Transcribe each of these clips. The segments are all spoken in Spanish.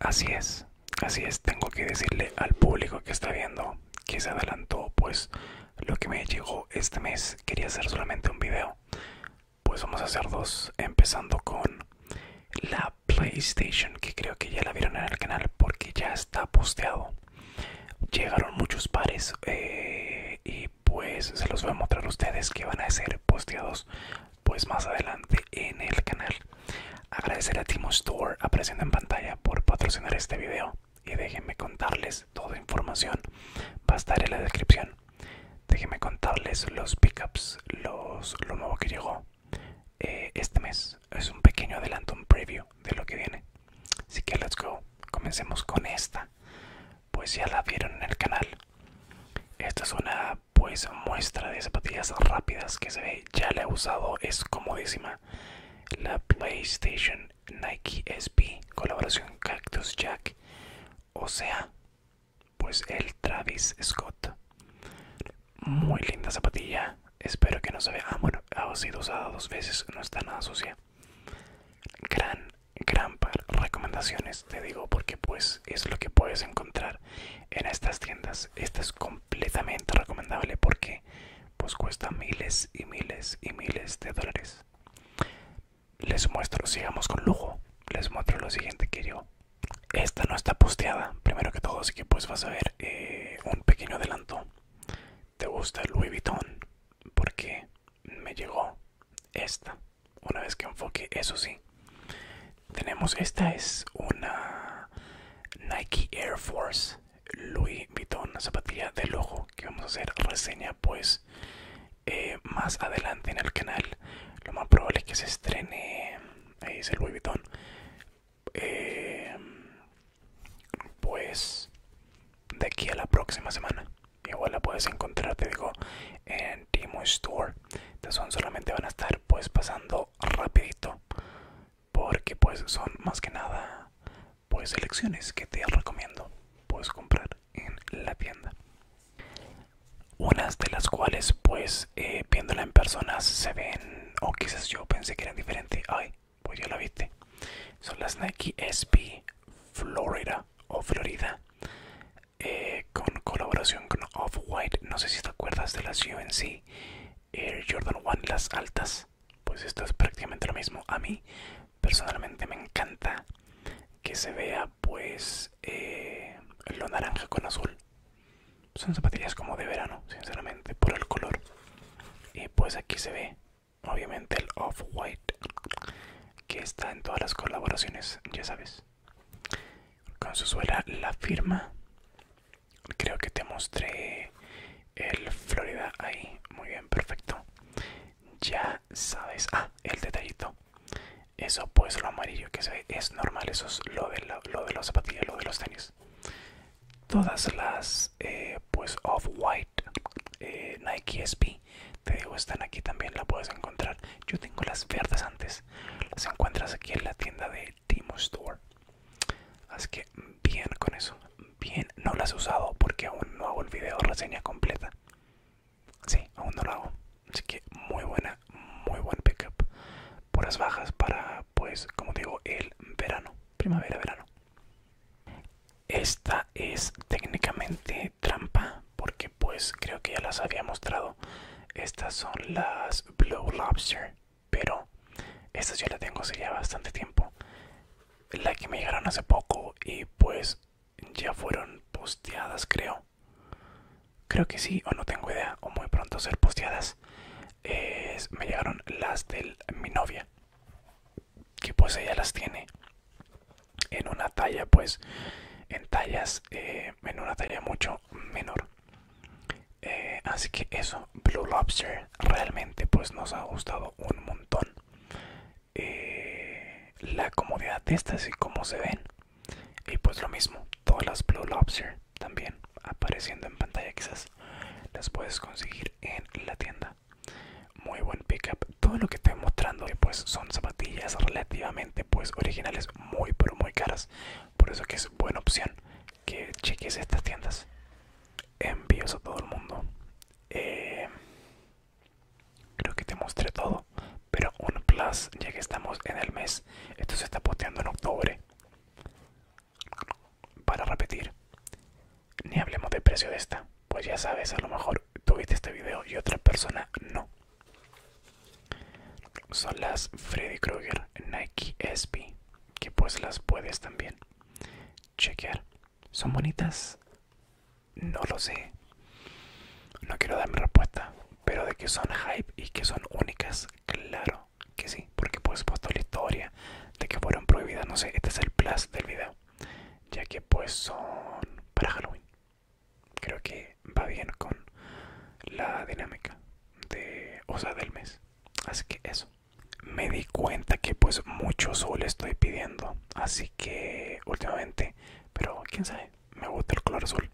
Así es, así es, tengo que decirle al público que está viendo que se adelantó, pues lo que me llegó este mes quería hacer solamente un video, pues vamos a hacer dos, empezando con la PlayStation, que creo que ya la vieron en el canal porque ya está posteado. Llegaron muchos pares eh, y pues se los voy a mostrar a ustedes que van a ser posteados pues más adelante en el canal. Agradecer a Timo Store apareciendo en pantalla por patrocinar este video y déjenme contarles toda información. Va a estar en la descripción. Déjenme contarles los pickups, los, lo nuevo que llegó eh, este mes es un pequeño adelanto, un preview de lo que viene. Así que let's go, comencemos con esta. Pues ya la vieron en el canal. Esta es una pues muestra de zapatillas rápidas que se ve, ya la he usado, es comodísima. La PlayStation Nike SB, colaboración Cactus Jack. O sea, pues el Travis Scott muy linda zapatilla. Espero que no se vea. Ah, bueno, ha sido usada dos veces, no está nada sucia. Gran, gran par recomendaciones, te digo, porque pues es lo que puedes encontrar en estas tiendas. Esta es completamente recomendable porque pues cuesta miles y miles y miles de dólares. Les muestro, sigamos con lujo. Les muestro lo siguiente que yo esta no está posteada, primero que todo, así que pues vas a ver eh, un pequeño adelanto. ¿Te gusta Louis Vuitton? Porque me llegó esta. Una vez que enfoque, eso sí. Tenemos, esta es una Nike Air Force Louis Vuitton, una zapatilla de lujo que vamos a hacer reseña pues eh, más adelante en el canal. Lo más probable es que se estrene Ahí eh, es el Louis eh, pues de aquí a la próxima semana igual la puedes encontrar te digo en Timo Store entonces son, solamente van a estar pues pasando rapidito porque pues son más que nada pues elecciones que te recomiendo puedes comprar en la tienda unas de las cuales pues eh, viéndola en personas se ven o quizás yo pensé que eran diferentes ay pues yo la viste son las Nike SB Florida o Florida eh, con colaboración con Off-White no sé si te acuerdas de las UNC Air eh, Jordan 1 las altas pues esto es prácticamente lo mismo a mí personalmente me encanta que se vea pues eh, lo naranja con azul. Son zapatillas como de verano, sinceramente, por el color. Y pues aquí se ve, obviamente, el off-white que está en todas las colaboraciones, ya sabes. Con su suela la firma. Creo que te mostré el Florida ahí. Muy bien, perfecto. Ya sabes. Ah, el detallito eso pues lo amarillo que se ve es normal eso es lo de, lo de los zapatillas lo de los tenis todas las eh, pues off white eh, nike SB, te digo están aquí también la puedes encontrar yo tengo las verdes antes las encuentras aquí en la tienda de timo store así que bien con eso bien no las he usado porque aún no hago el video reseña completa Sí, aún no lo hago. Así que muy buena, muy buen pickup. las bajas para, pues, como digo, el verano. Primavera, verano. Esta es técnicamente trampa porque pues creo que ya las había mostrado. Estas son las Blue Lobster, pero estas yo las tengo hace ya bastante tiempo. La que me llegaron hace poco y pues ya fueron posteadas, creo. Creo que sí, o no tengo idea, o muy pronto ser posteadas. me llegaron las de mi novia, que pues ella las tiene en una talla, pues en tallas, eh, en una talla mucho menor. Eh, así que eso, Blue Lobster realmente pues nos ha gustado un montón. Eh, la comodidad de estas y cómo se ven. Y pues lo mismo, todas las Blue Lobster también apareciendo en pantalla quizás las puedes conseguir en la tienda. Muy buen pickup. Todo lo que estoy mostrando eh, pues son zapatillas relativamente pues originales muy pero muy caras. Por eso que es buena opción que cheques estas tiendas. Envíos a todo el mundo. Eh, creo que te mostré todo pero un plus ya que estamos en el mes esto se está posteando en octubre para repetir ni hablemos de precio de esta pues ya sabes a lo mejor tuviste este video y otra persona no son las Freddy Krueger Nike SP que pues las puedes también chequear. ¿Son bonitas? No lo sé. No quiero dar mi respuesta. Pero de que son hype y que son únicas, claro que sí. Porque pues puesto la historia de que fueron prohibidas. No sé, este es el plus del video. Ya que pues son para Halloween. Creo que va bien con la dinámica de, o sea, del mes. Así que eso me di cuenta que pues mucho sol estoy pidiendo así que últimamente pero quién sabe me gusta el color azul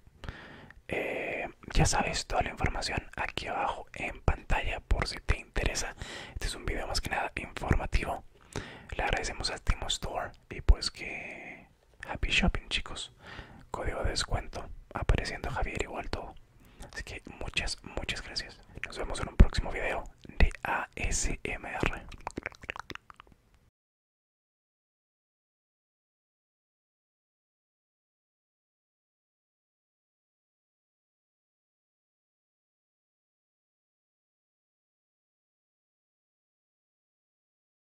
eh, ya sabes toda la información aquí abajo en pantalla por si te interesa este es un video más que nada informativo le agradecemos al Timo Store y pues que happy shopping chicos código de descuento apareciendo Javier igual todo Así que muchas, muchas gracias. Nos vemos en un próximo video de ASMR.